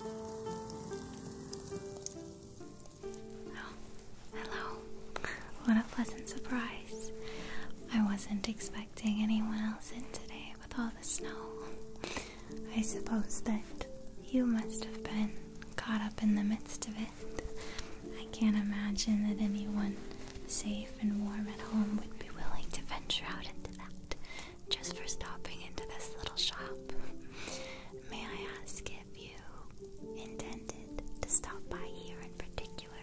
Oh, hello. What a pleasant surprise. I wasn't expecting anyone else in today with all the snow. I suppose that you must have been caught up in the midst of it. I can't imagine that anyone safe and warm at home would be willing to venture out into that just for stopping into this little shop. May I ask if you intended to stop by here in particular,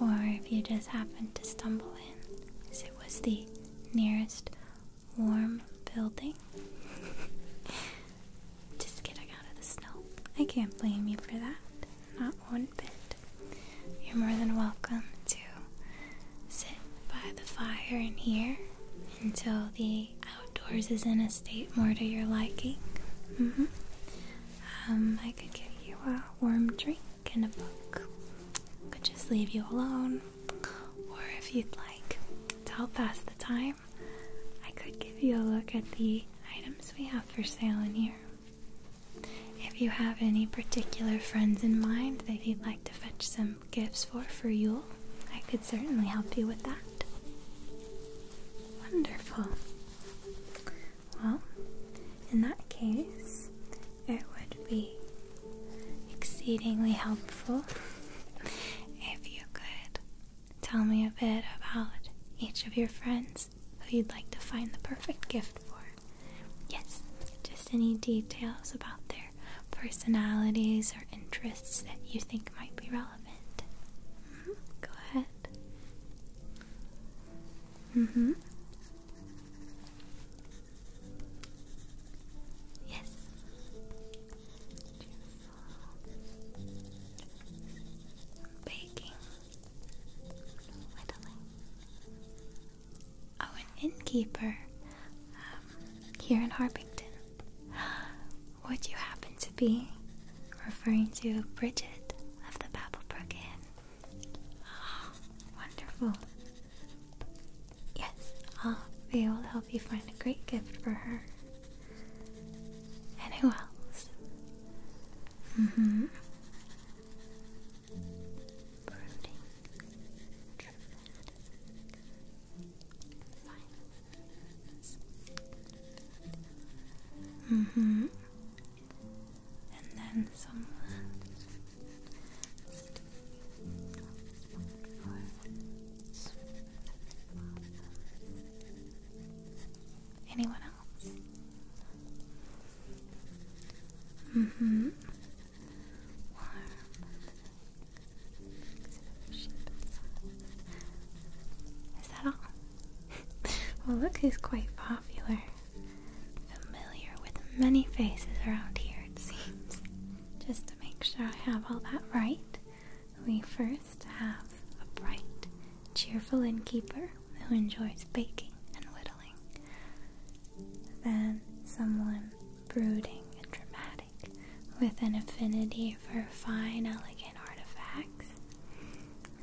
or if you just happened to stumble in, as it was the nearest warm building. just getting out of the snow. I can't blame you for that, not one bit. You're more than welcome to sit by the fire in here until the outdoors is in a state more to your liking. Mm-hmm. Um, I could give you a warm drink and a book. I could just leave you alone. Or if you'd like to help pass the time, I could give you a look at the items we have for sale in here. If you have any particular friends in mind that you'd like to fetch some gifts for for Yule, I could certainly help you with that. Wonderful. Well, in that case, it would be exceedingly helpful if you could tell me a bit about each of your friends who you'd like to find the perfect gift for. Yes, just any details about their personalities or interests that you think might be relevant. Mm-hmm, go ahead. Mm-hmm. Yes. Baking. Whittling. Oh, an innkeeper. Um, here in Harpington. Would you happen to be referring to Bridget of the Babblebrook Inn? Oh, wonderful. Yes, I'll be able to help you find a great gift for her. And who else? hmm Mm-hmm and then some Anyone else? Mm-hmm. Is that all? well, look who's quite popular. Familiar with many faces around here, it seems. Just to make sure I have all that right, we first have a bright, cheerful innkeeper who enjoys baking and whittling. Then someone brooding and dramatic with an affinity for fine, elegant artifacts.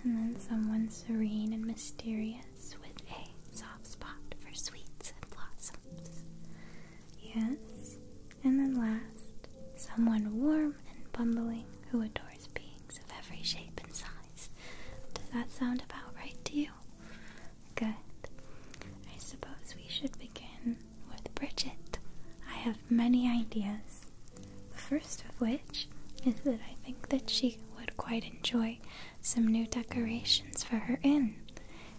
And then someone serene and mysterious with a soft spot for sweets and blossoms. Yes, and then last, someone warm and bumbling who adores beings of every shape and size. Does that sound about right to you? Good. I suppose we should begin with Bridget. I have many ideas. The first of which is that I think that she would quite enjoy some new decorations for her inn.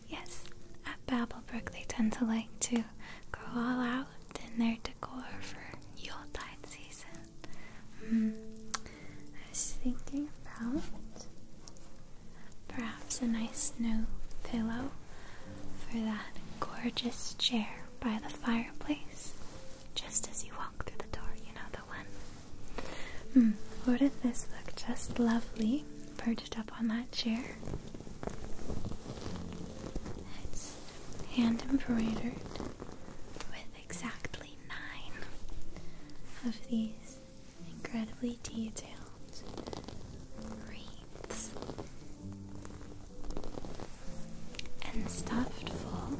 Yes, at Babblebrook they tend to like to go all out in their decor for Yuletide season. Hmm, I was thinking about perhaps a nice new pillow for that gorgeous chair by the fireplace, just as you walk walk through the door, you know the one? Hmm, wouldn't this look just lovely perched up on that chair? It's hand embroidered with exactly nine of these incredibly detailed wreaths and stuffed full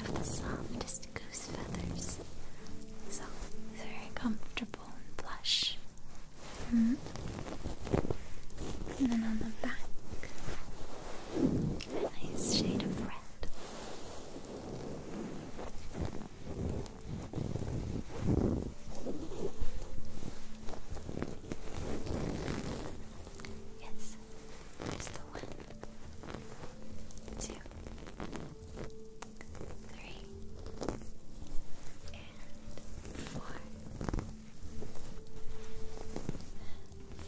of the softest goose feathers. So very comfortable and plush. Mm-hmm. And then on the back, nice shade of red. Yes, there's the one two, three, and four,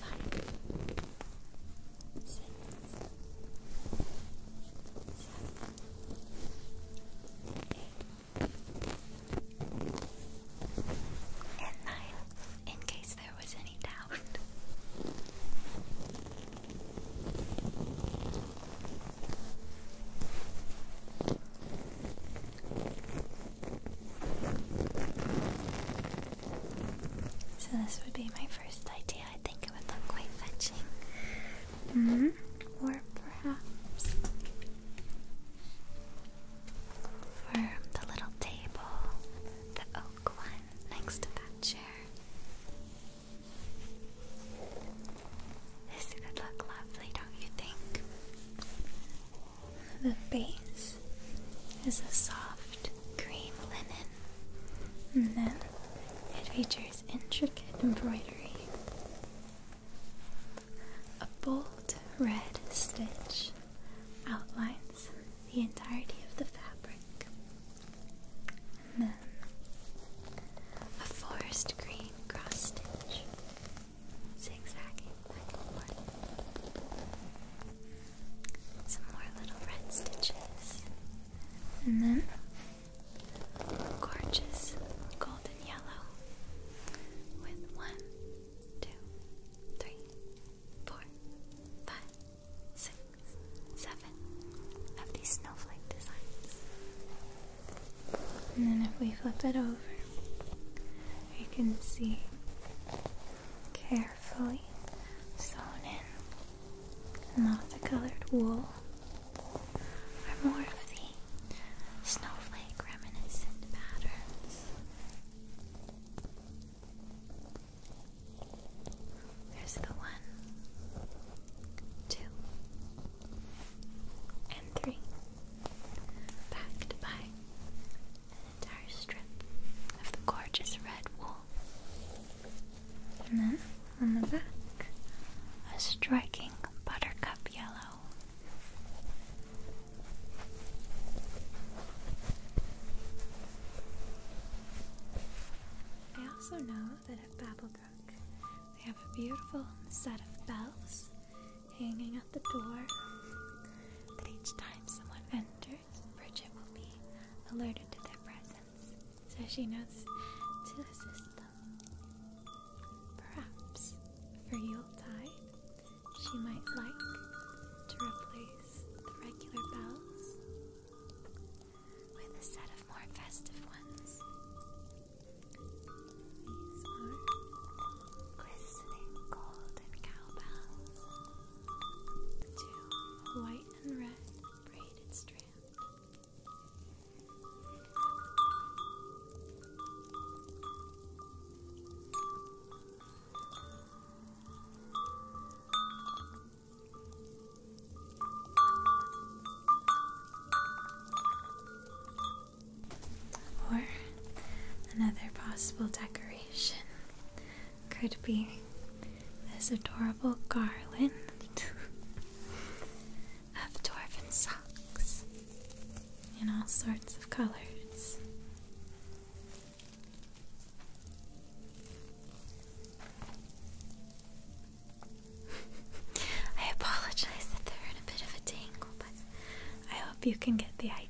five, six, seven, eight, and nine. In case there was any doubt. So, this would be my first idea. I think it would look quite fetching. Mm-hmm. Or perhaps for the little table, the oak one next to that chair. This look lovely, don't you think? The base is a soft green linen, and then it features intricate embroidery. A bold red stitch outlines the entirety of the fabric. And then a forest green cross stitch zigzagging Some more little red stitches. And then gorgeous golden yellow with one, two, three, four, five, six, seven of these snowflake designs. And then if we flip it over, you can see carefully sewn in lots of colored wool are more of the snowflake reminiscent patterns. There's the one, two, and three, backed by an entire strip of the gorgeous red wool. And then on the back, a striking buttercup yellow. I also know that at Babelbrook they have a beautiful set of bells hanging at the door that each time someone enters, Bridget will be alerted to their presence so she knows to assist them. Perhaps for Yuletide, she might like to replace the regular bells with a set of more festive ones. These are glistening golden cowbells to white and red braided strands. Or another possible decoration could be this adorable garland of dwarven socks in all sorts of colors. I apologize that they're in a bit of a tangle, but I hope you can get the idea.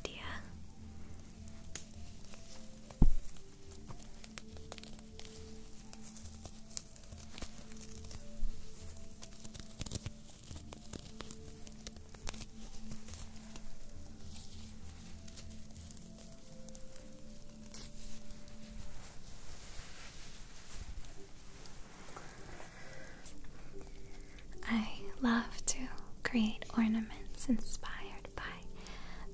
I love to create ornaments inspired by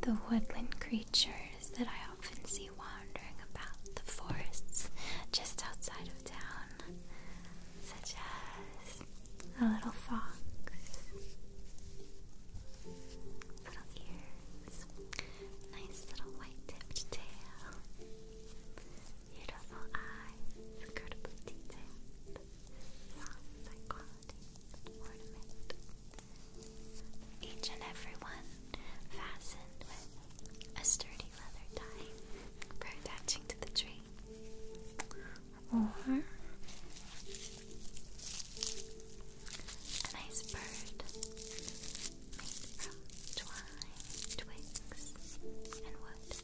the woodland creatures that I often see wandering about the forests just outside of town, such as a little fox, little ears, nice little white tipped tail, beautiful eyes, incredibly detailed, soft, high quality ornament. Each and every one fastened with a sturdy leather tie for attaching to the tree. Or a nice bird made from twine, twigs, and wood.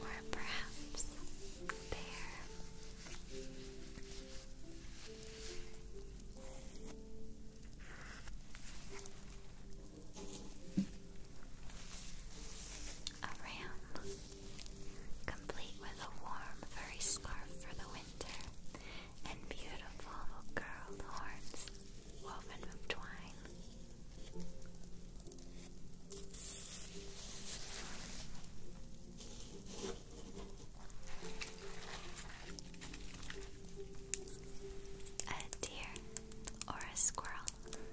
Or perhaps there. A ram, complete with a warm furry scarf for the winter and beautiful curled horns woven of twine. A deer or a squirrel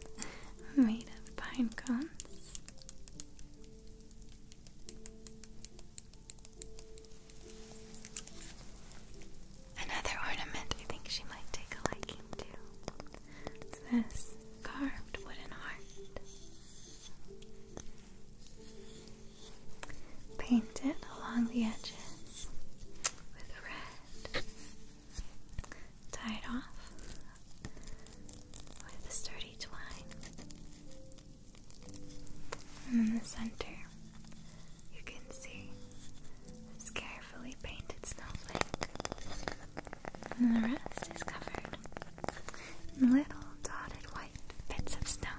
made of pine cones. Another ornament I think she might take a liking to. It's this carved wooden heart. painted along the edges with red. Tie off with sturdy twine. And in the center, you can see this carefully painted snowflake and the rest is covered in little dotted white bits of snow.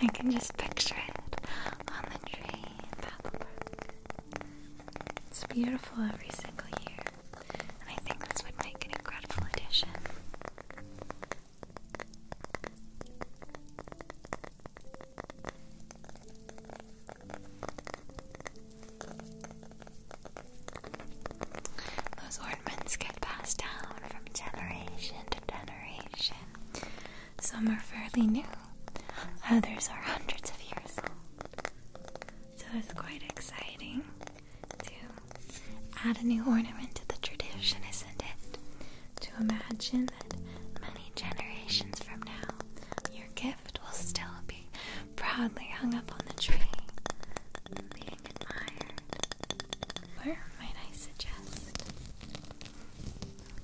I can just picture it on the tree in It's beautiful every single year. I think this would make an incredible addition. Those ornaments get passed down from generation to generation. Some are fairly new, others are hundreds of years old. So it's quite exciting to add a new ornament to the tradition, isn't it? To imagine that many generations from now, your gift will still be proudly hung up on the tree being admired. Where might I suggest?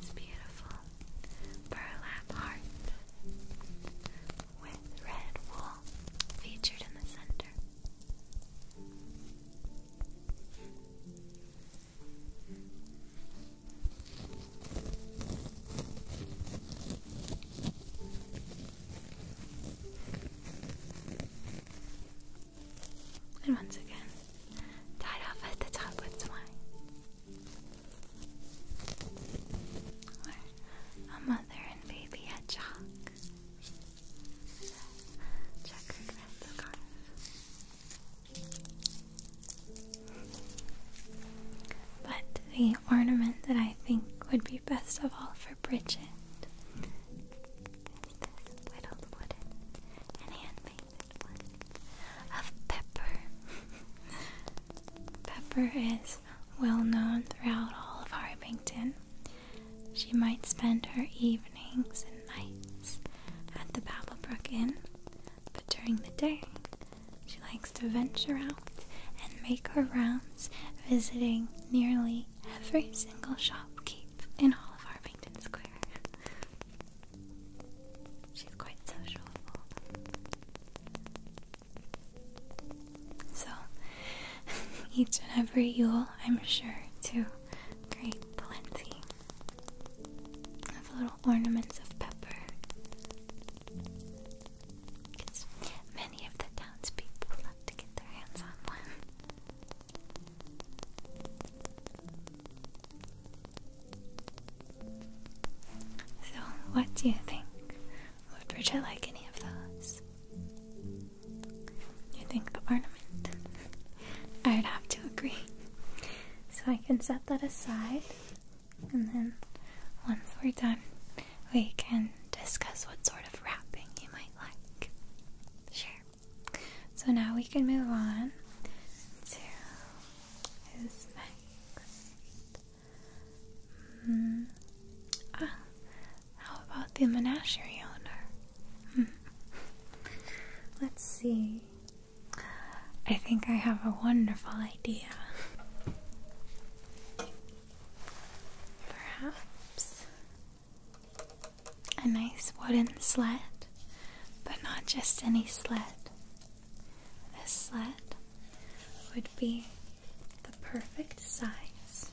It's beautiful burlap heart with red wool featured in the center. And once again, tied off at the top with twine. Where a mother and baby hedgehog but the ornament that I think would be best of all for Bridget is this little wooden handmade one of pepper. pepper is well known throughout all of Harpington. She might spend her evenings and nights at the Babblebrook Inn, but during the day, she likes to venture out and make her rounds, visiting nearly every single shopkeep in all of Harpington Square. She's quite sociable. So, each and every Yule, I'm sure, to create plenty of little ornaments of pepper. Because many of the townspeople love to get their hands on one. So, what do you think? Would Bridget like any of those? You think the ornament? I would have to agree. So I can set that aside, and then once we're done, we can discuss what sort of wrapping you might like. Sure. So now we can move on to who's next. Hmm. Ah, how about the menagerie owner? Hmm. Let's see. I think I have a wonderful idea. Perhaps a nice wooden sled, but not just any sled. This sled would be the perfect size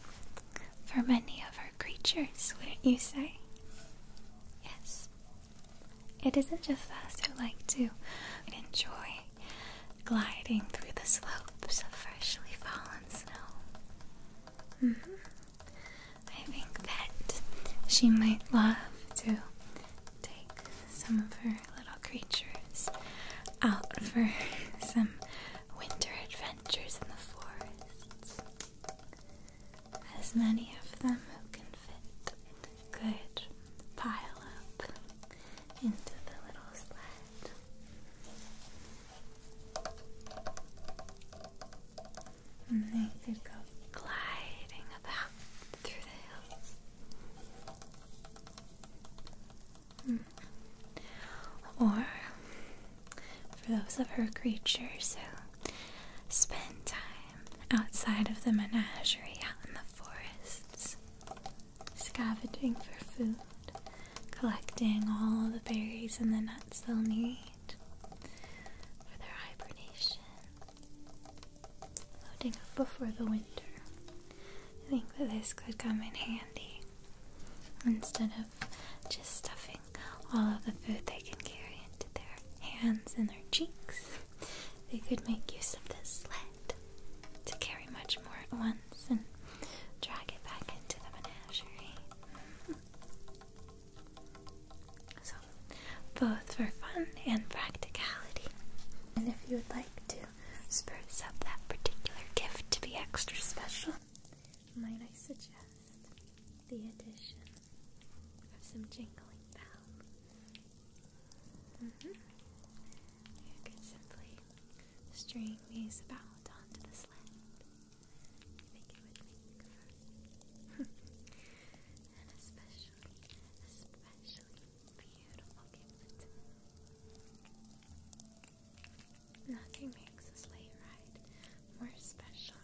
for many of our creatures, wouldn't you say? Yes. It isn't just us who like to enjoy gliding through the slopes of freshly fallen snow. Mm-hmm. I think that she might love to take some of her little creatures out for some winter adventures in the forest. As many of them who can fit could pile up into the little sled. And they could go gliding about through the hills. Mm. Or for those of her creatures who spend time outside of the menagerie, out in the forests, scavenging for food, collecting all the berries and the nuts they'll need for their hibernation, loading up before the winter. I think that this could come in handy instead of just stuffing all of the food they can carry into their hands and their cheeks. They could make use of this sled to carry much more at once and drag it back into the menagerie. So, both for fun and practicality. And if you would like to spruce up that particular gift to be extra special, might I suggest the addition of some jingling bells? Mm-hmm. You could simply string these about onto the sled. think it would make for an especially, especially beautiful gift. Nothing makes this late ride more special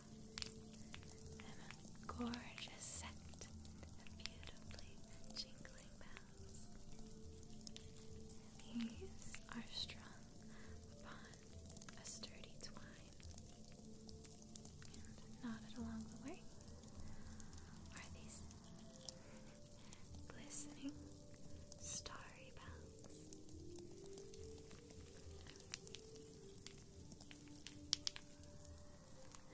than a gorgeous set of beautifully jingling bells. These are strung upon a sturdy twine, and knotted along the way are these glistening starry bells.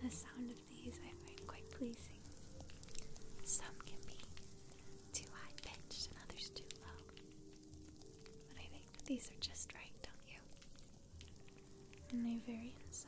The sound of these I find quite pleasing. Some can be too high pitched and others too low. But I think these are just right, don't you? And they vary in size.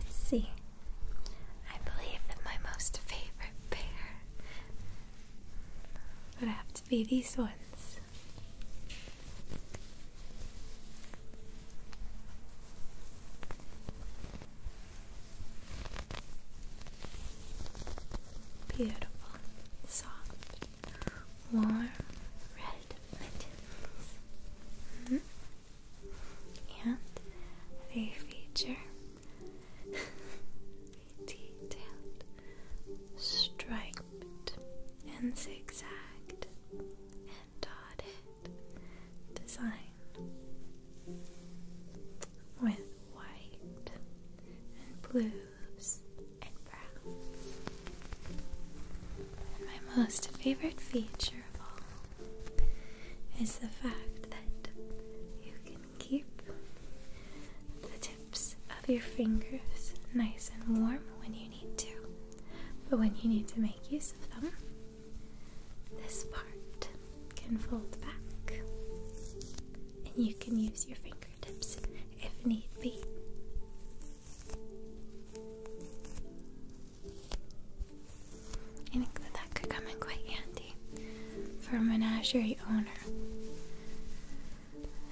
Let's see. I believe that my most favorite pair would have to be these ones. Beautiful, soft warm red buttons. Mm-hmm. And they feature detailed, striped, and zigzagged, and dotted design with white and blue and my most favorite feature of all is the fact that you can keep the tips of your fingers nice and warm when you need to. But when you need to make use of them, this part can fold back and you can use your fingers if need be. that could come in quite handy for a menagerie owner.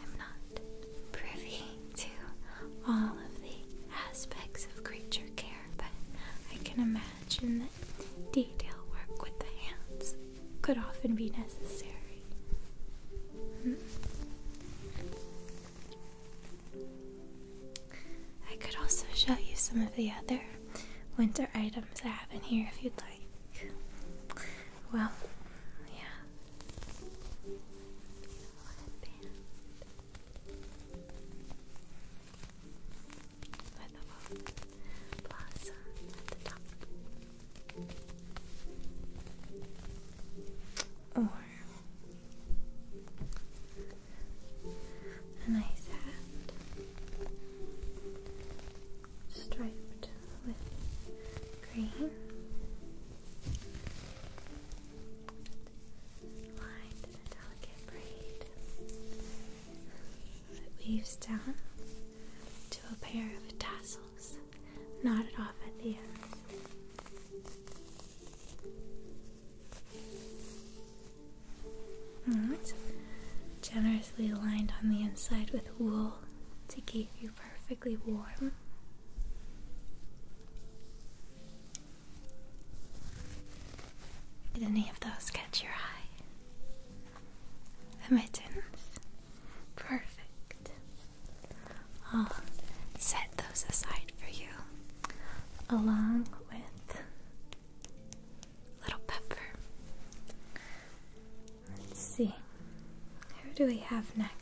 I'm not privy to all of the aspects of creature care, but I can imagine the detail work with the hands could often be necessary. Hmm. I could also show you some of the other winter items I have in here if you'd like. Well, yeah or a nice hat striped with green, lined in delicate braid that weaves down to a pair of tassels curls knotted off at the ends. generously lined on the inside with wool to keep you perfectly warm. Did any of those catch your eye? The mittens. Perfect. I'll set those aside for you, along with little pepper. Let's see. Who do we have next?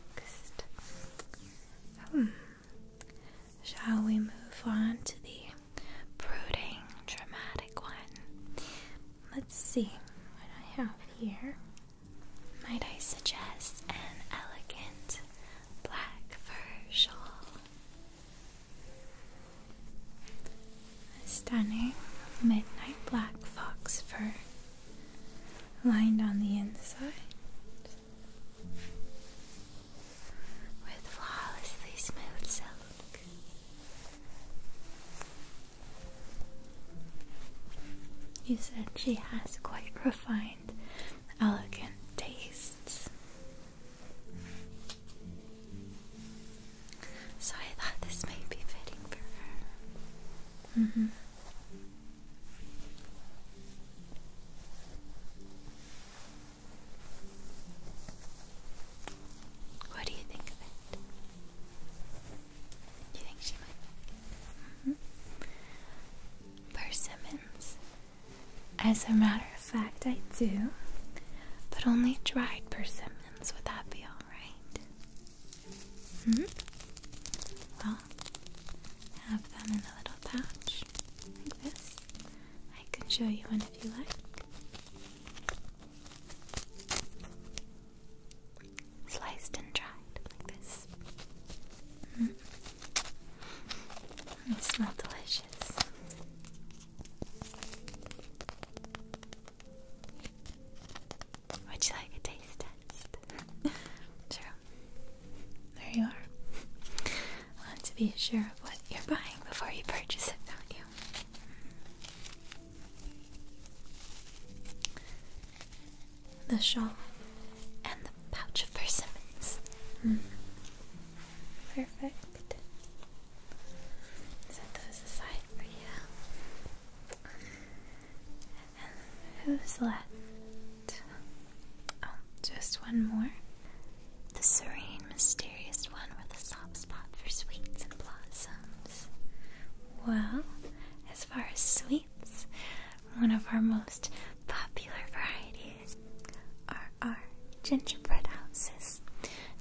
Hmm. Shall we move on to the brooding, dramatic one? Let's see what I have here. Might I suggest an elegant black fur shawl? A stunning midnight black fox fur lined on the inside with flawlessly smooth silk. You said she has quite refined, elegant tastes. So I thought this might be fitting for her. Mm-hmm. What do you think of it? Do you think she might Mm-hmm. Persimmons. As a matter of fact, I do, but only dried persimmons. Would that be alright? hmm? Well, have them in a little pouch like this. I can show you one if you like sliced and dried like this. Mm. It smells delicious. Would you like a taste test? sure. There you are. Want to be sure of what you're buying before you purchase it, don't you? The shawl and the pouch of persimmons. Hmm. Perfect. Set those aside for you. And who's left? Oh, just one more. The serene, mysterious one with a soft spot for sweets and blossom. Well, as far as sweets, one of our most popular varieties are our gingerbread houses.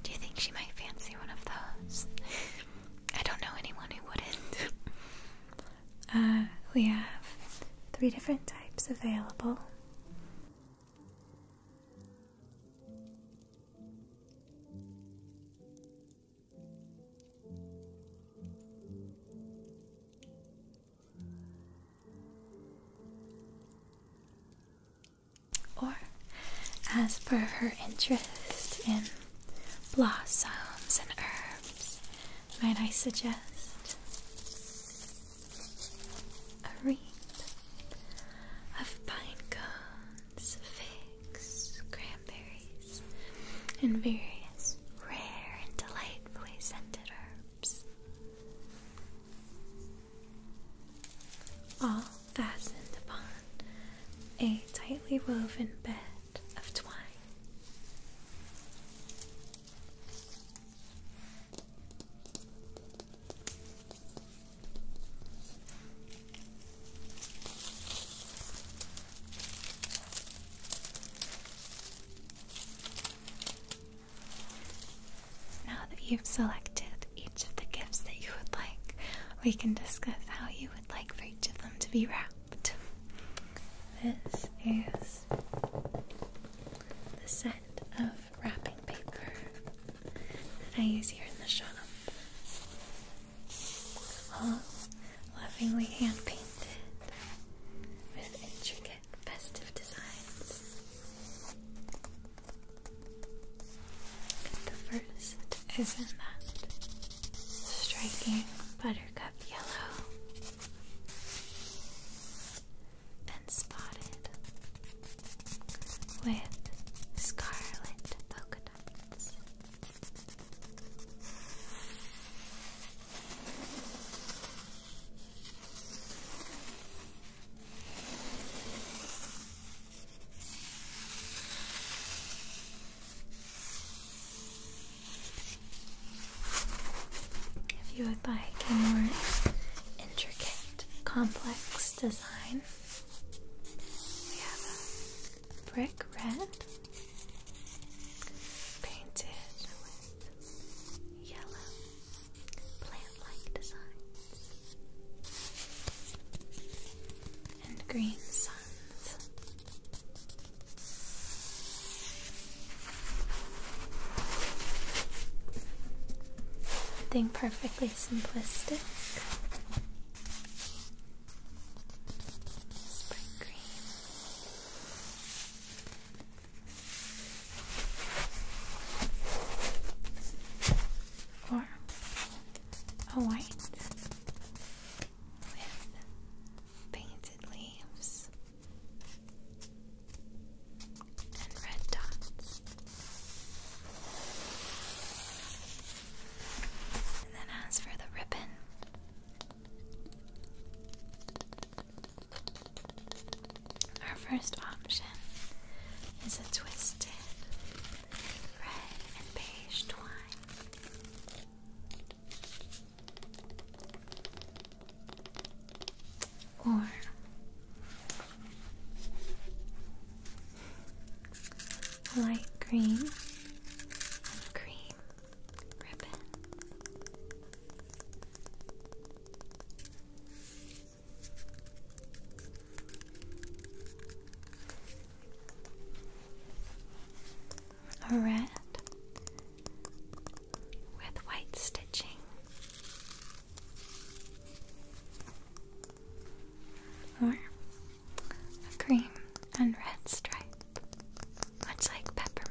Do you think she might fancy one of those? I don't know anyone who wouldn't. Uh, we have three different types available. Or, as per her interest in blossoms and herbs, might I suggest a wreath of pine cones, cranberries, and various rare and delightfully scented herbs. All fastened upon a tightly woven bed of twine. Now that you've selected each of the gifts that you would like, we can discuss how you would like for each of them to be wrapped. This is the set of wrapping paper I use here in the shop all lovingly hand painted with intricate festive designs. The first is in that striking buttercup yellow and spotted with scarlet polka dots. If you would like a more intricate, complex design, we have a brick red painted with yellow plant-like designs and green suns. Something perfectly simplistic Spring cream. Or a white with painted leaves and red dots. And then as for the ribbon, our first option is a twisted red and beige twine. Or light green and cream ribbon. A red with white stitching. Or a green and red stripe, much like peppermint.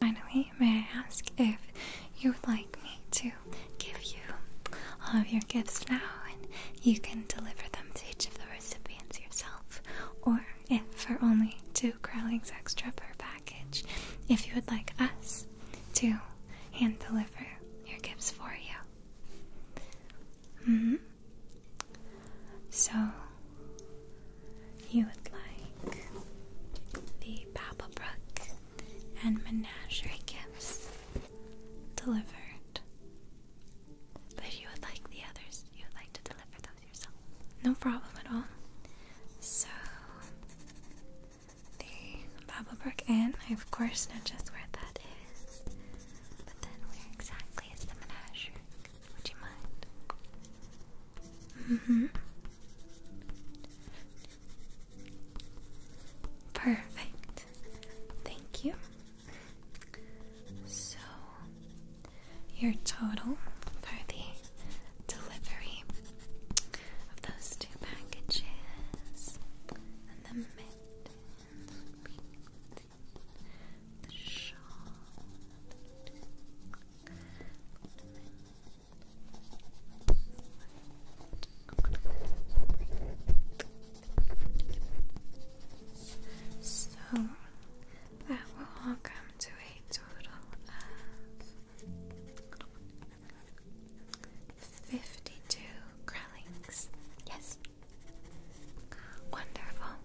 Finally, may I ask if you would like me to give you all of your gifts now and you can deliver them to each of the recipients yourself, or if for only two Crowlings extra per package, if you would like us to hand deliver your gifts for you. -hmm. So, you would like the Babblebrook and Menagerie gifts delivered, but you would like the others, you would like to deliver those yourself. No problem at all. So, the Babblebrook Inn, I of course know just where that is, but then where exactly is the Menagerie? Would you mind? Mm-hmm. Perfect. Thank you. So, your total for the delivery of those two packages so that will all come to a total of fifty-two growlings. Yes, Wonderful.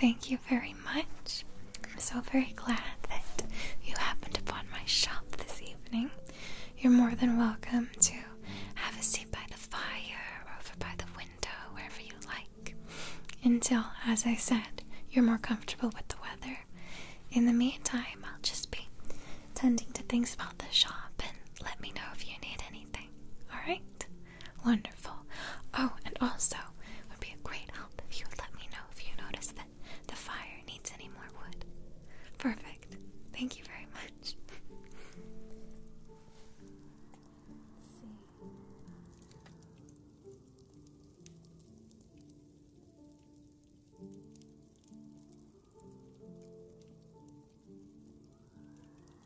Thank you very much. I'm so very glad that you happened upon my shop this evening. You're more than welcome to have a seat by the fire over by the window, wherever you like, until, as I said, you're more comfortable with the weather. In the meantime, I'll just be tending to things about the shop and let me know if you need anything. Alright? Wonderful. Oh, and also, would be a great help if you would let me know if you notice that the fire needs any more wood. Perfect. Thank you very much.